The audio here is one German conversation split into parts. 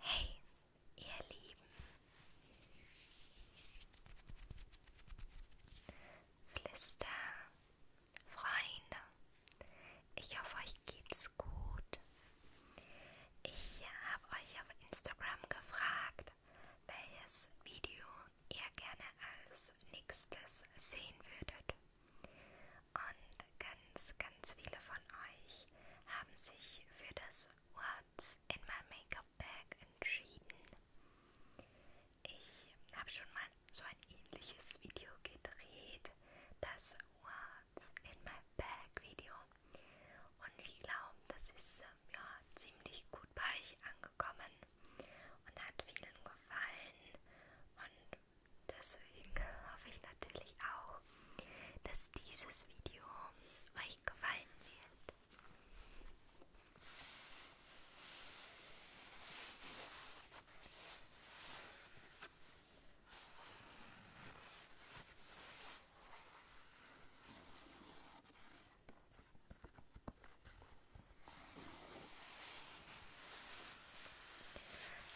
Hey, ihr Lieben! Flister, Freunde, ich hoffe, euch geht's gut. Ich habe euch auf Instagram gefragt, welches Video ihr gerne als nächstes sehen würdet. Und ganz, ganz viele von euch haben sich für das What's in my Makeup Bag entschieden. Ich habe schon mal so ein ähnliches Video gedreht, das What's in my Bag Video. Und ich glaube, das ist ähm, ja ziemlich gut bei euch angekommen und hat vielen gefallen. Und deswegen hoffe ich natürlich auch, dass dieses Video euch gefallen wird.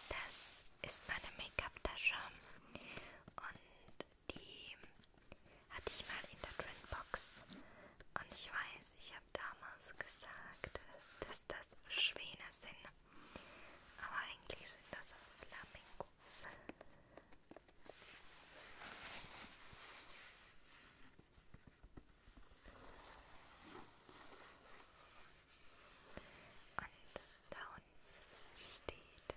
Das ist meine Make-up-Tasche und die hatte ich mal in der Trendbox. Und ich weiß, ich habe damals gesagt, dass das Schwäne sind. Aber eigentlich sind das Flamingos. Und da unten steht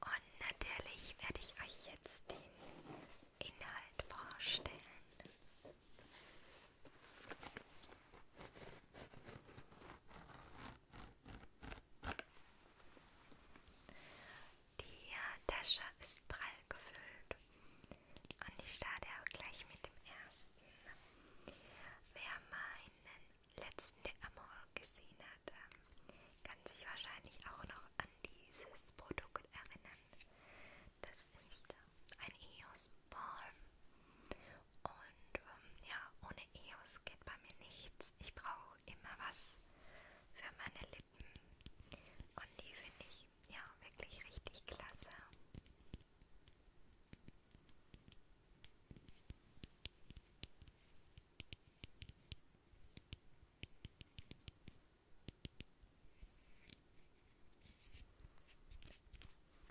Und natürlich werde ich euch jetzt den Inhalt vorstellen. Die äh, Tasche ist prall gefüllt und ich starte auch gleich mit dem ersten. Wer meinen letzten Amor gesehen hat, ähm, kann sich wahrscheinlich auch noch an dieses Produkt erinnern. Das ist äh, ein EOS Balm und ähm, ja, ohne EOS geht bei mir nichts. Lips. Ich brauche immer was für meine Lippen. Und die finde ich ja wirklich richtig klasse.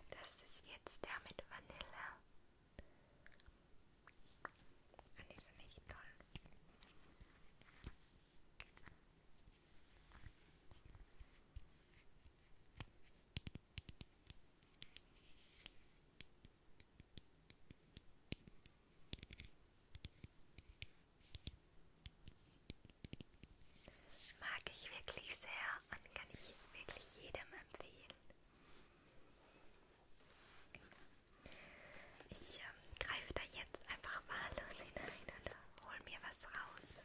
Das ist jetzt der mit Vanille. Und die sind echt toll. Mag ich wirklich sehr und kann ich wirklich jedem empfehlen. Ich ähm, greife da jetzt einfach wahllos hinein und hol mir was raus.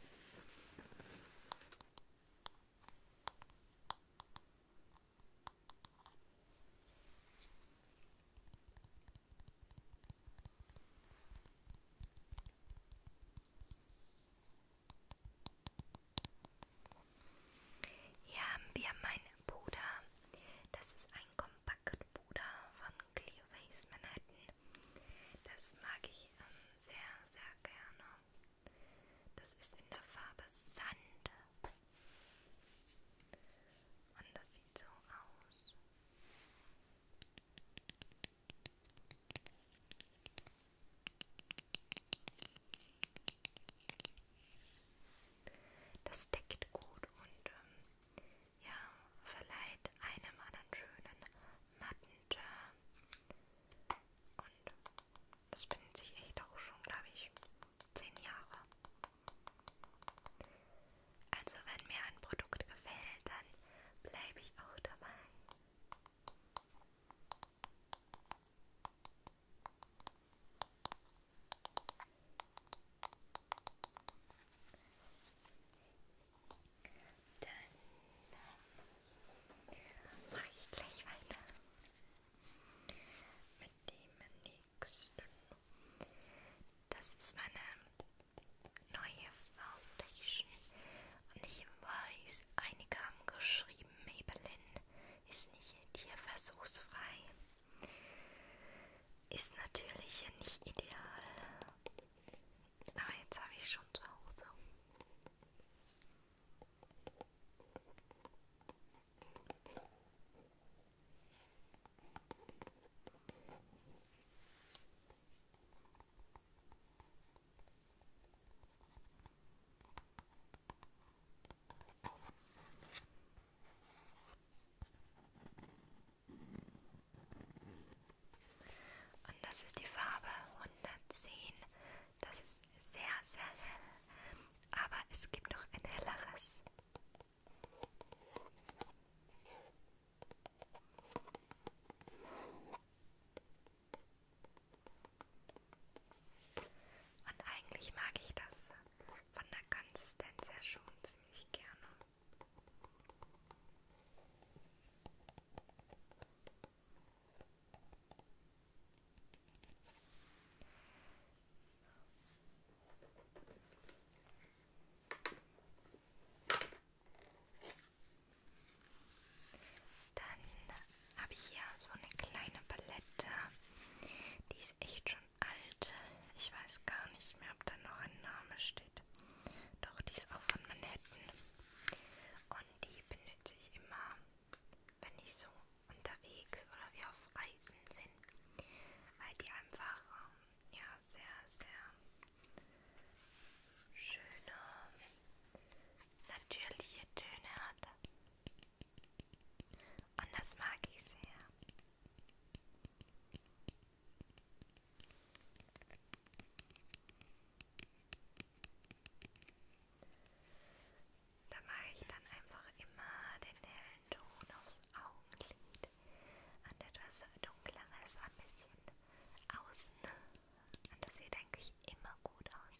Hier haben wir meinen Puder. Das ist ein Kompaktpuder von Clio Face Manhattan. Das mag ich ähm, sehr, sehr gerne. Das ist in der Farbe Sand. Und das sieht so aus. Das deckt gut und ähm, ja, verleiht einem einen schönen matten Turn. Und das bindet sich echt auch schon, glaube ich, zehn Jahre. Also wenn mir ein Produkt gefällt, dann bleibe ich auch dabei. Dann mache ich gleich weiter mit dem nächsten. Das ist meine neue Foundation und ich weiß, einige haben geschrieben, Maybelline ist nicht tierversuchsfrei. Ist natürlich hier nicht ideal. Aber jetzt habe ich schon zu Hause. Und das ist die Farbe 110. Das ist sehr, sehr hell. Aber es gibt noch ein helleres. Und eigentlich mag ich das von der Konsistenz her schon ziemlich gerne. Dann habe ich hier so eine kleine Palette, die ist echt schon alte, ich weiß gar nicht mehr, ob da noch ein Name steht. Doch, die ist auch von Manhattan. Und die benutze ich immer, wenn ich so unterwegs oder wir auf Reisen sind. Weil die einfach, ähm, ja, sehr, sehr schöne, natürliche Töne hat. Und das mag ich sehr. Da mache ich dann einfach immer den hellen Ton aufs Augenlid und etwas dunkleres ein bisschen außen. Und das sieht eigentlich immer gut aus.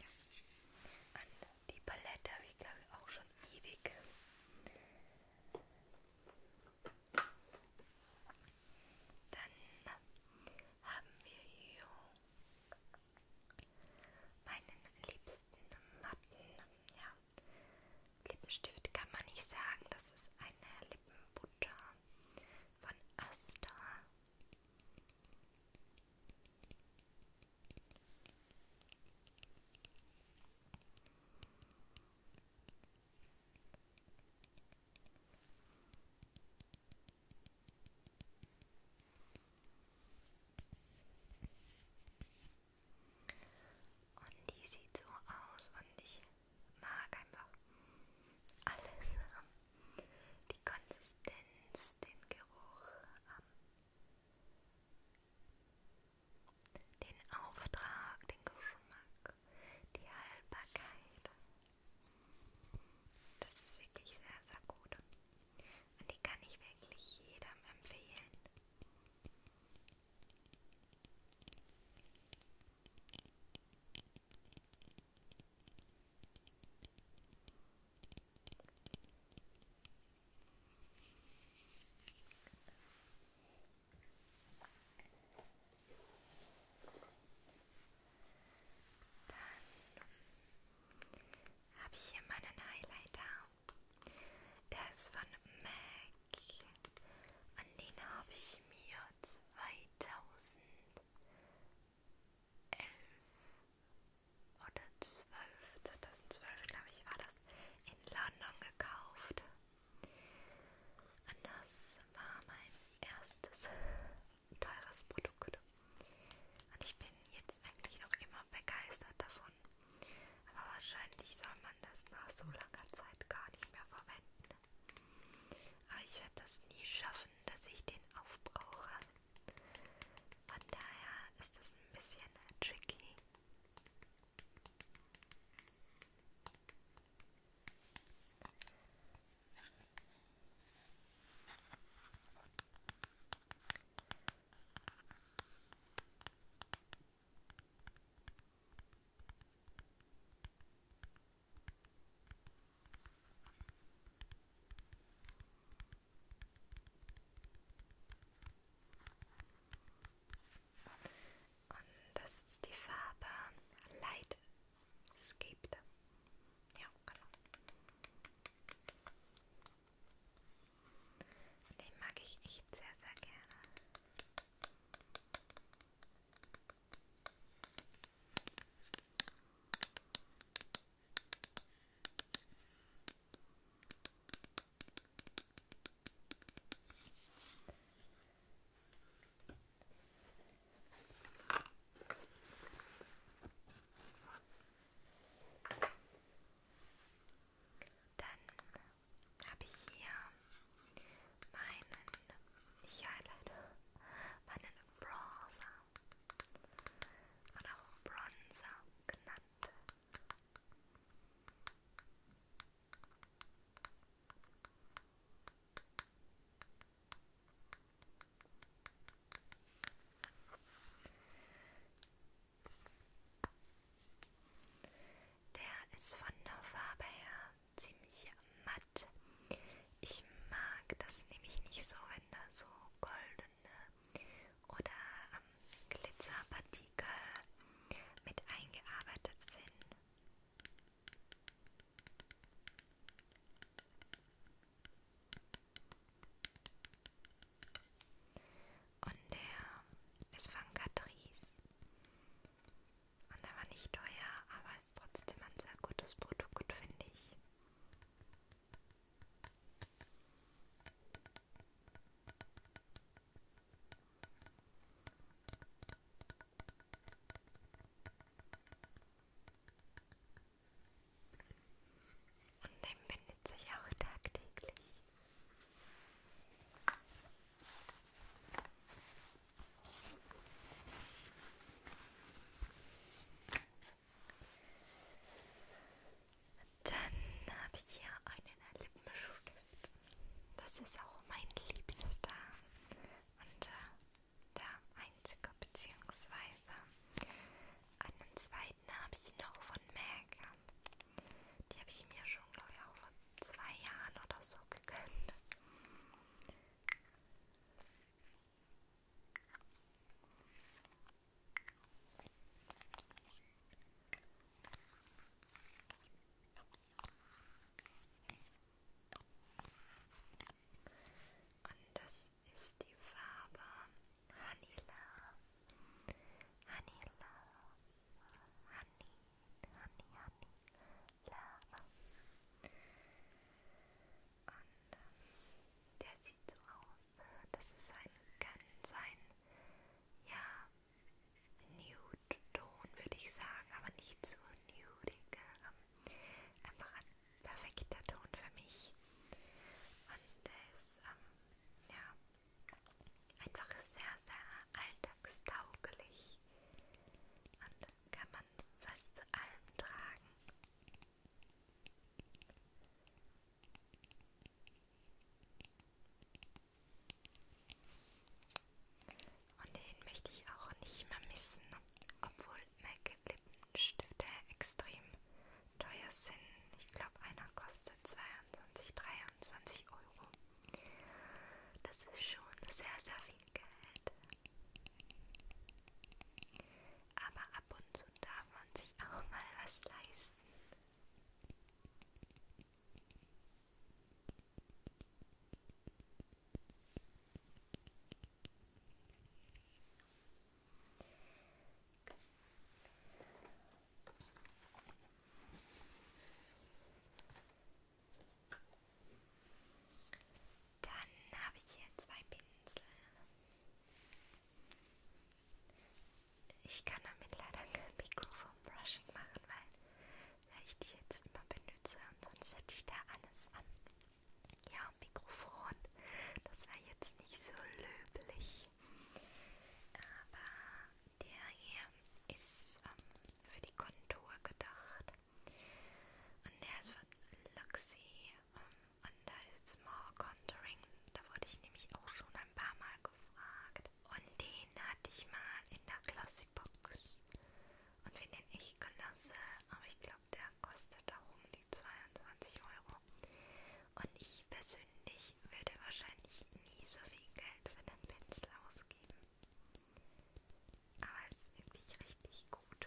Ja. An die Palette habe ich glaube ich auch schon ewig. Dann haben wir hier meinen liebsten Matten. Ja. Lippenstift kann man nicht sagen, das ist eine Lippenbutter von Asta. Und die sieht so aus und ich mag einfach alles. Ähm, die Konsistenz, den Geruch, ähm, den Auftrag, den Geschmack, die Haltbarkeit. Das ist wirklich sehr, sehr gut. Und die kann ich wirklich jedem empfehlen. Dann habe ich hier meinen Highlighter. Der ist von MAC. An den habe ich mir 2000 11 oder 12, 2012 glaube ich war das, in London gekauft. Und das war mein erstes teures Produkt. Und ich bin jetzt eigentlich noch immer begeistert davon. Aber wahrscheinlich soll man das nach so langer Zeit gar nicht mehr verwenden. Aber ich werde das nie schaffen, dass ich den aufbrauche. Von daher ist das ein bisschen tricky. So, und das ist die Farbe Light Escaped. Ja, genau. Den mag ich echt sehr, sehr gerne. Dann habe ich hier meinen, ich ja leider meinen Bronzer oder auch Bronzer genannt. Der ist von der Farbe her ziemlich matt. Ich mag das nämlich nicht so, wenn da so goldene oder ähm, Glitzerpartikel mit eingearbeitet sind. Und der ist von Catrice. Und er war nicht teuer, aber ist trotzdem ein sehr gutes Produkt, finde ich. Und dem bindet sich auch tagtäglich. Dann habe ich hier einen Lippenstift. Das ist auch mein liebster und äh, der einzige, beziehungsweise einen zweiten habe ich noch von MAC. Die habe ich mir schon, glaube ich, auch vor zwei Jahren oder so gegönnt. Und das ist die Farbe Hanila. Hanila. Honey, honey, honey, und ähm, der sieht so aus. Äh, das ist ein ganz ein, ja, Nude-Ton, würde ich sagen, aber nicht so nudig. Ähm, einfach ein perfekter Ton für mich. Und der ist, ähm, ja, einfach sehr, sehr alltagstauglich. Und kann man fast zu allem tragen. Und den möchte ich auch nicht mehr missen, obwohl MAC Lippenstifte extrem teuer sind. Ich glaube, einer kostet 22, 23 Euro. Das ist schon sehr, sehr viel Geld. Seite. Aber ab und zu darf man sich auch mal was leisten. Dann habe ich hier zwei Pinsel. Ich kann damit leider kein Mikrofon-Brushing machen, weil ich die jetzt immer benutze und sonst hätte ich da alles an. Ja, Mikrofon. Das war jetzt nicht so löblich. Aber der hier ist ähm, für die Kontur gedacht. Und der ist von Luxie um, ähm, und da ist More Contouring. Da wurde ich nämlich auch schon ein paar Mal gefragt. Und den hatte ich mal in der Classic Box. Und finde den echt klasse. Aber ich glaube, der kostet auch um die 22 Euro. Und ich persönlich würde wahrscheinlich nie so viel Geld für den Pinsel ausgeben. Aber es ist wirklich richtig gut.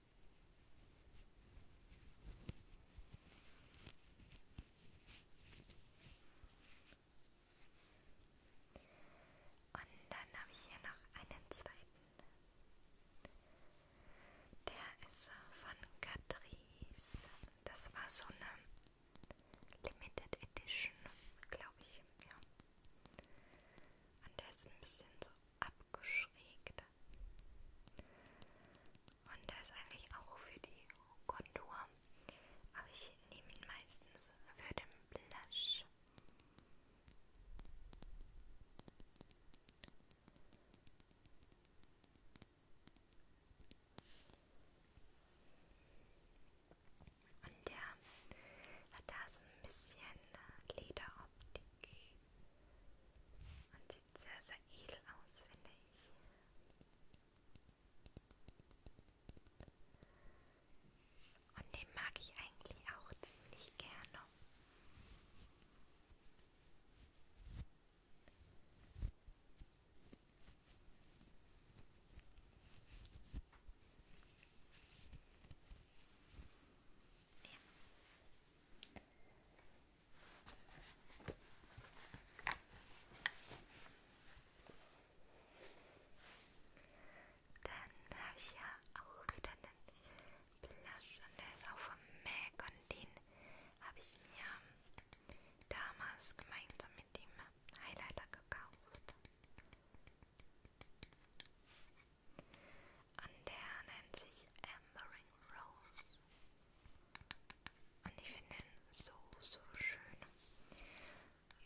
Und dann habe ich hier noch einen zweiten. Der ist von Catrice. Das war so eine Limited Edition, glaube ich. Ja. Und der ist ein bisschen so abgeschrägt. Und der ist eigentlich auch für die Kontur. Aber ich nehme ihn meistens für den Blush. Und der hat da so ein bisschen Lederoptik und sieht sieht sehr, sehr edel aus, finde ich. Und den mag ich eigentlich auch ziemlich gerne. Ja. Dann habe ich ja auch wieder einen Blush und der ist auch vom MAC und den habe ich mir damals gemeinsam mit dem Highlighter gekauft. Und der nennt sich Embering Rose. Und ich finde ihn so, so schön.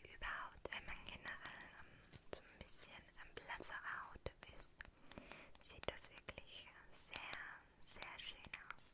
Überhaupt, wenn man generell ähm, so ein bisschen ähm, blassere Haut ist, sieht das wirklich sehr, sehr schön aus.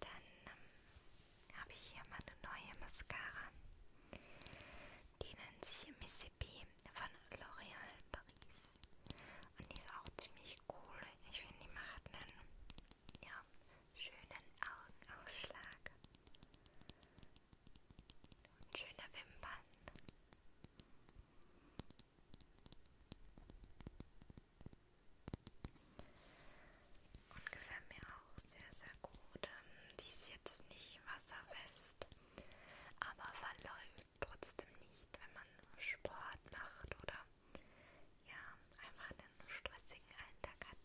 Dann ähm, habe ich hier mal eine neue Mascara. Die nennt sich Mississippi von L'Oréal Paris. Und die ist auch ziemlich cool. Ich finde, die macht einen ja, schönen Augenausschlag. Und schöne Wimpern. Und gefällt mir auch sehr, sehr gut. Ähm, die ist jetzt nicht wasserfest, aber verläuft trotzdem nicht, wenn man Sport macht oder ja, einfach einen stressigen Alltag hat.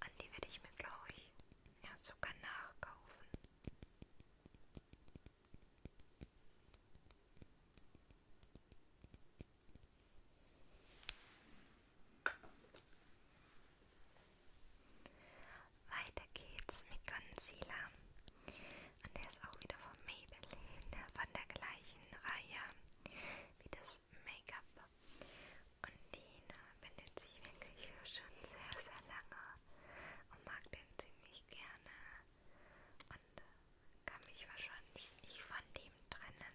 An die werde ich mir, glaube ich, ja sogar nachkaufen. Weiter geht's mit Concealer. Und der ist auch wieder von Maybelline, von der gleichen Reihe wie das Make-up. Und den benutze ich wirklich schon sehr, sehr lange und mag den ziemlich gerne. Und kann mich wahrscheinlich nicht von dem trennen,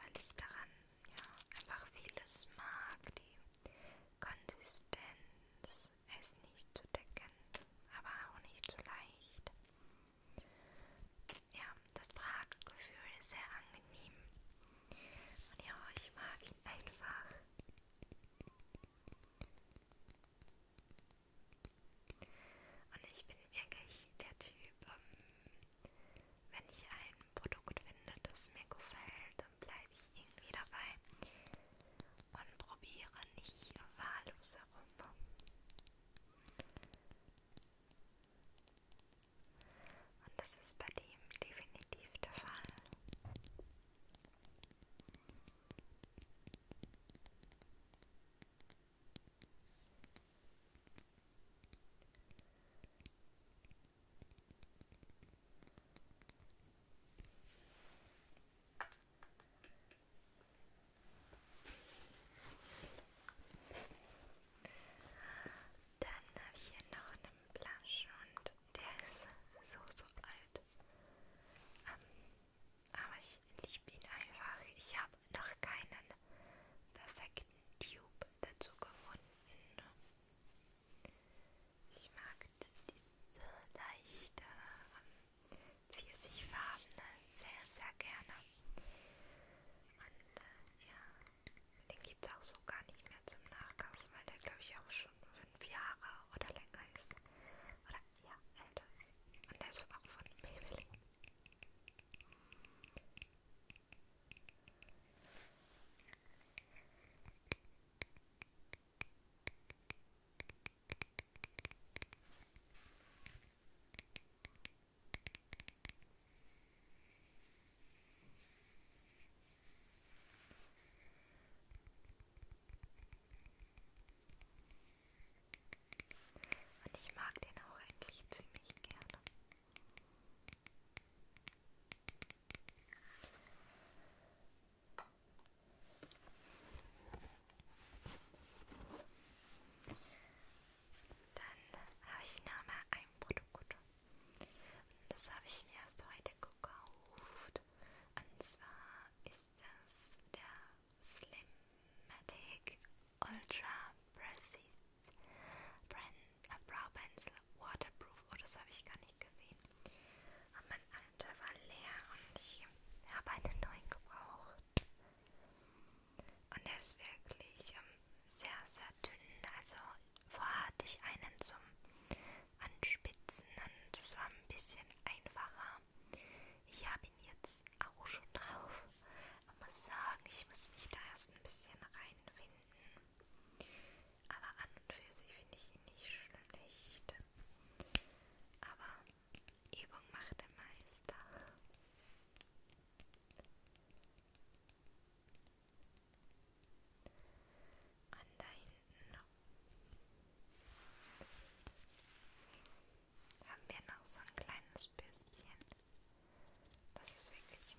weil ich daran ja, einfach vieles mag, die Konsistenz, es nicht zu decken, aber auch nicht zu leicht. Ja, das Traggefühl ist sehr angenehm. Und ja, ich mag ihn einfach. Und ich bin wirklich der Typ, ähm, wenn ich ein Produkt finde, das mir gefällt, dann bleibe ich irgendwie dabei und probiere nicht wahllos herum. Und das ist bei dem definitiv der Fall. Dann habe ich hier noch einen Blush und der ist so, so alt. Ähm, aber ich liebe ihn einfach. Ich habe noch keinen perfekten Tube dazu gefunden. Ich mag diese leichte Pfirsichfarbene ähm, sehr, sehr gerne. Und äh, ja, den gibt es auch so gar nicht mehr zum Nachkaufen, weil der glaube ich auch schon fünf Jahre oder länger ist. Oder ja, älter ist. Und der ist auch von Maybelline. Und ich mag den auch eigentlich ziemlich gerne. Dann habe ich nochmal ein Produkt. Das habe ich mir erst heute gekauft. Und zwar ist das der Slimmatic Ultra Precise Brand a Brow Pencil Waterproof. Oh, das habe ich gar nicht gesehen. Und oh mein alter war leer und ich habe einen neuen gebraucht. Und der ist wirklich ähm, sehr, sehr dünn. Also vorher hatte ich einen zum Anspitzen und das war ein bisschen einfacher. Ich habe ihn jetzt auch schon drauf. Ich muss sagen, ich muss mich da erst ein bisschen reinfinden. Aber an und für sich finde ich ihn nicht schlecht. Aber Übung macht den Meister. Und da hinten noch. haben wir noch so ein kleines Bürstchen. Das ist wirklich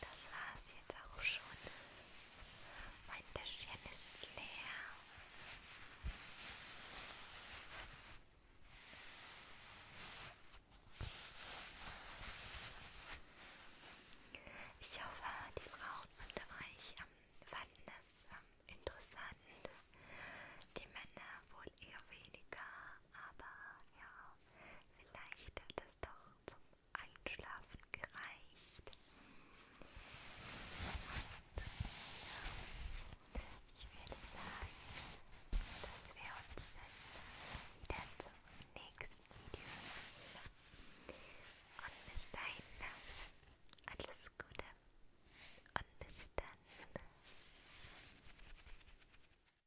Das war's jetzt auch schon. Mein Täschchen ist leer. Ich hoffe, die Frauen unter euch ähm, fanden das ähm, interessant. Die Männer wohl eher weniger, aber ja vielleicht hat es doch zum Einschlafen gereicht. Und ja, ich würde sagen, dass wir uns dann wieder zum nächsten Video sehen. Und bis dahin, alles Gute und bis dann.